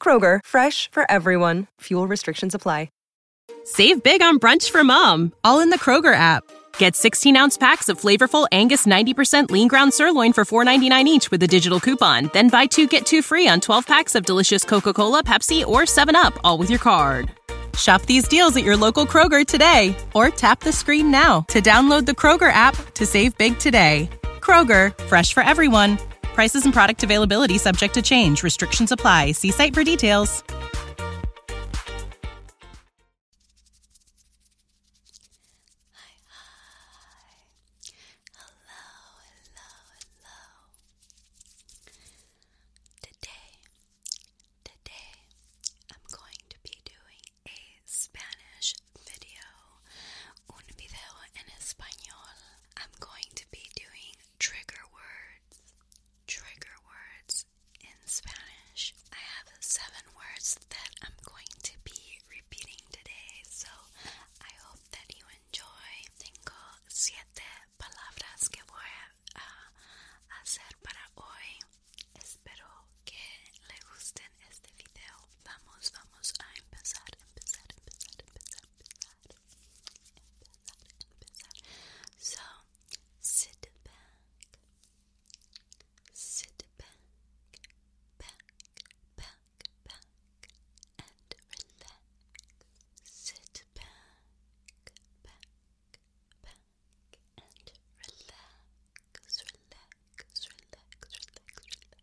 Kroger, fresh for everyone. Fuel restrictions apply. Save big on brunch for mom, all in the Kroger app. Get 16 ounce packs of flavorful Angus 90% lean ground sirloin for $4.99 each with a digital coupon. Then buy two get two free on 12 packs of delicious Coca Cola, Pepsi, or 7UP, all with your card. Shop these deals at your local Kroger today or tap the screen now to download the Kroger app to save big today. Kroger, fresh for everyone. Prices and product availability subject to change. Restrictions apply. See site for details. Hello, hello, hello. Today, today, I'm going to be doing a Spanish video, un video en español. I'm going to be doing trigger words, trigger words in Spanish. I have seven words that I'm going to be repeating today, so I hope that you enjoy. Tengo siete palabras que voy a hacer para hoy. Espero que le guste en este video vamos, vamos a empezar, empezar, empezar, empezar, empezar, empezar, empezar. So, sit back, sit back, back, back, back, and relax. Sit back, back, back, and relax, relax, relax, relax, relax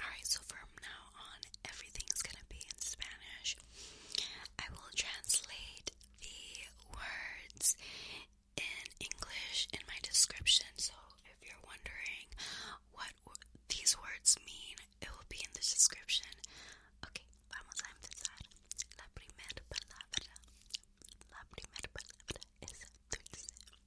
Alright, so from now on, everything's gonna be in Spanish. I will translate the words in English in my description, so if you're wondering what these words mean, it will be in the description. Okay,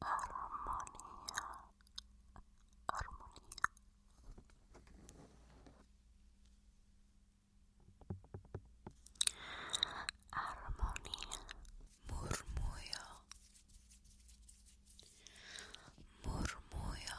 armonía, armonía, armonía. Armonía, murmullo, murmullo,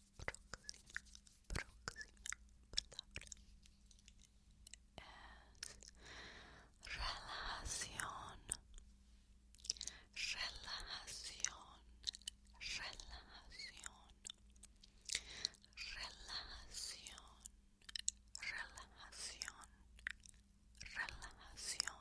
próxima, próxima palabra es relajación, relajación, relajación, relajación, relajación,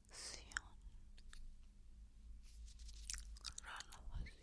relajación, relajación. Relación. Relación.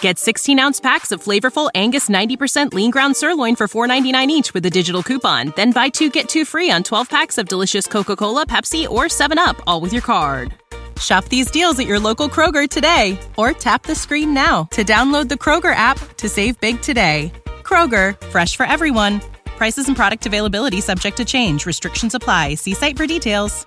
Get 16 ounce packs of flavorful Angus 90% lean ground sirloin for $4.99 each with a digital coupon. Then buy two get two free on 12 packs of delicious Coca Cola, Pepsi, or 7UP, all with your card. Shop these deals at your local Kroger today or tap the screen now to download the Kroger app to save big today. Kroger, fresh for everyone. Prices and product availability subject to change. Restrictions apply. See site for details.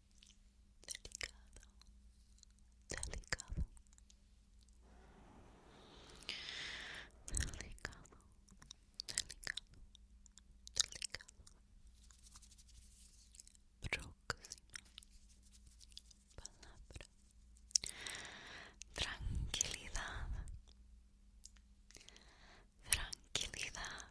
delicado, delicado, delicado, delicado, delicado. Próxima palabra. Tranquilidad. Tranquilidad.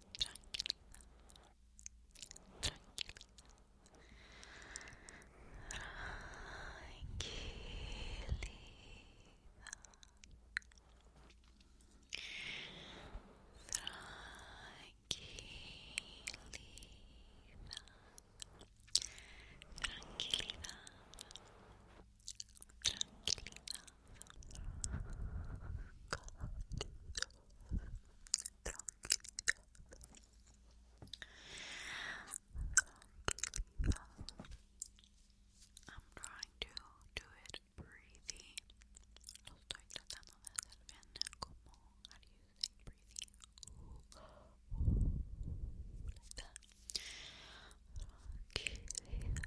tranquila, tranquilidad, tranquilidad, I'm trying to do it breathy. estoy tratando de hacer como, how you say breathy? Ooh, ooh,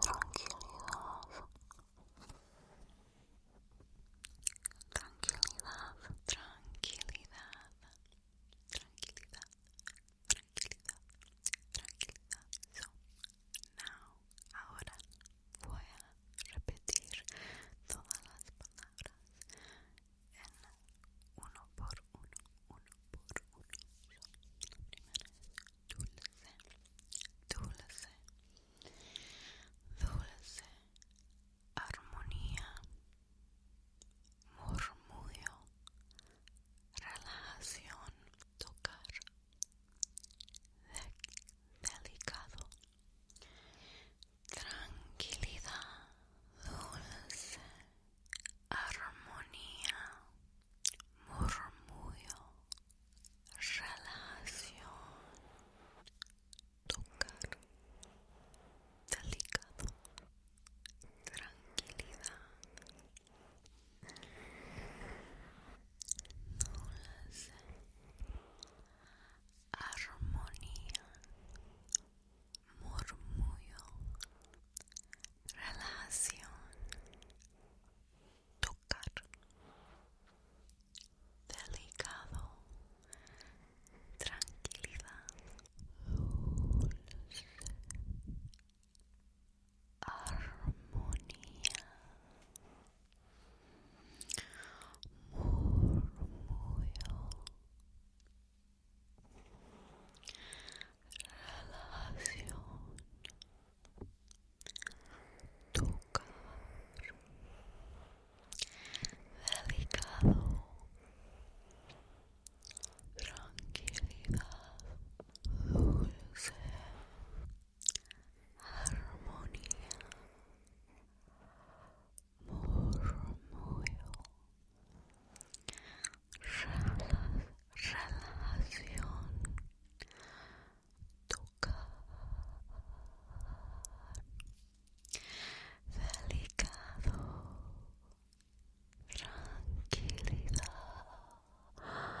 Tranquilidad. Tranquilidad, tranquilidad, tranquilidad, tranquilidad, tranquilidad. So, now, ahora voy a repetir todas las palabras en uno por uno, uno por uno. primera dulce, dulce, dulce, armonía, murmullo, relación, tocar, delicado, tranquilidad, dulce, armonía, murmullo, Relación. tocar, delicado, tranquilidad, nulas, armonía, murmullo, Relación tocar, delicado, tranquilidad, Dulce armonía, murmullo Relación tocar delicado tranquilidad dulce armonía murmullo Relación tocar, delicado, tranquilidad, murmullo relajación.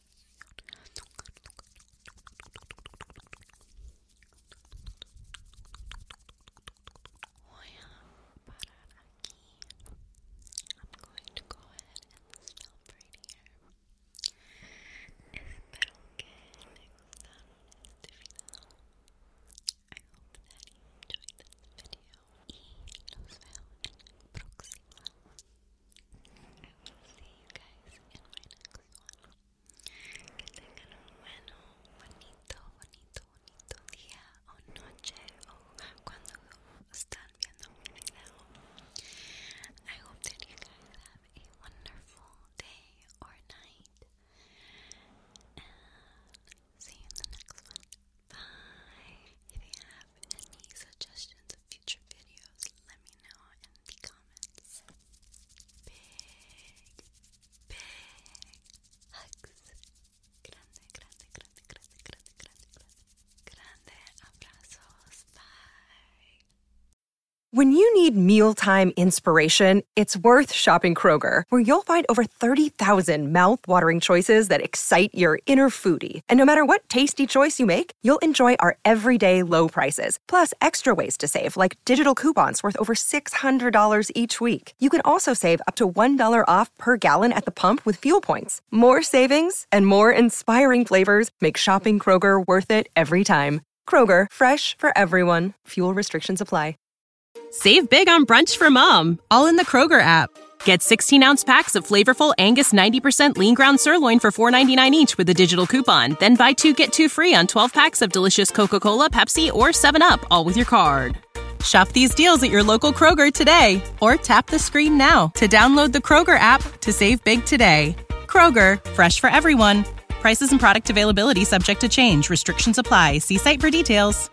Voy i I'm going to go ahead and stop right here. Espero que te gustaron este video. I hope that you enjoyed this video y los veo en el I will see you guys in my next one. Que tengan un bueno, bonito, bonito, bonito día o noche o cuando están viendo mi video. I hope that you guys have a wonderful day or night. And see you in the next one. Bye. If you have any suggestions when you need mealtime inspiration, it's worth shopping Kroger, where you'll find over 30,000 mouthwatering choices that excite your inner foodie. And no matter what tasty choice you make, you'll enjoy our everyday low prices, plus extra ways to save, like digital coupons worth over $600 each week. You can also save up to $1 off per gallon at the pump with fuel points. More savings and more inspiring flavors make shopping Kroger worth it every time. Kroger, fresh for everyone. Fuel restrictions apply. Save big on brunch for mom, all in the Kroger app. Get 16 ounce packs of flavorful Angus 90% lean ground sirloin for $4.99 each with a digital coupon. Then buy two get two free on 12 packs of delicious Coca Cola, Pepsi, or 7UP, all with your card. Shop these deals at your local Kroger today or tap the screen now to download the Kroger app to save big today. Kroger, fresh for everyone. Prices and product availability subject to change. Restrictions apply. See site for details.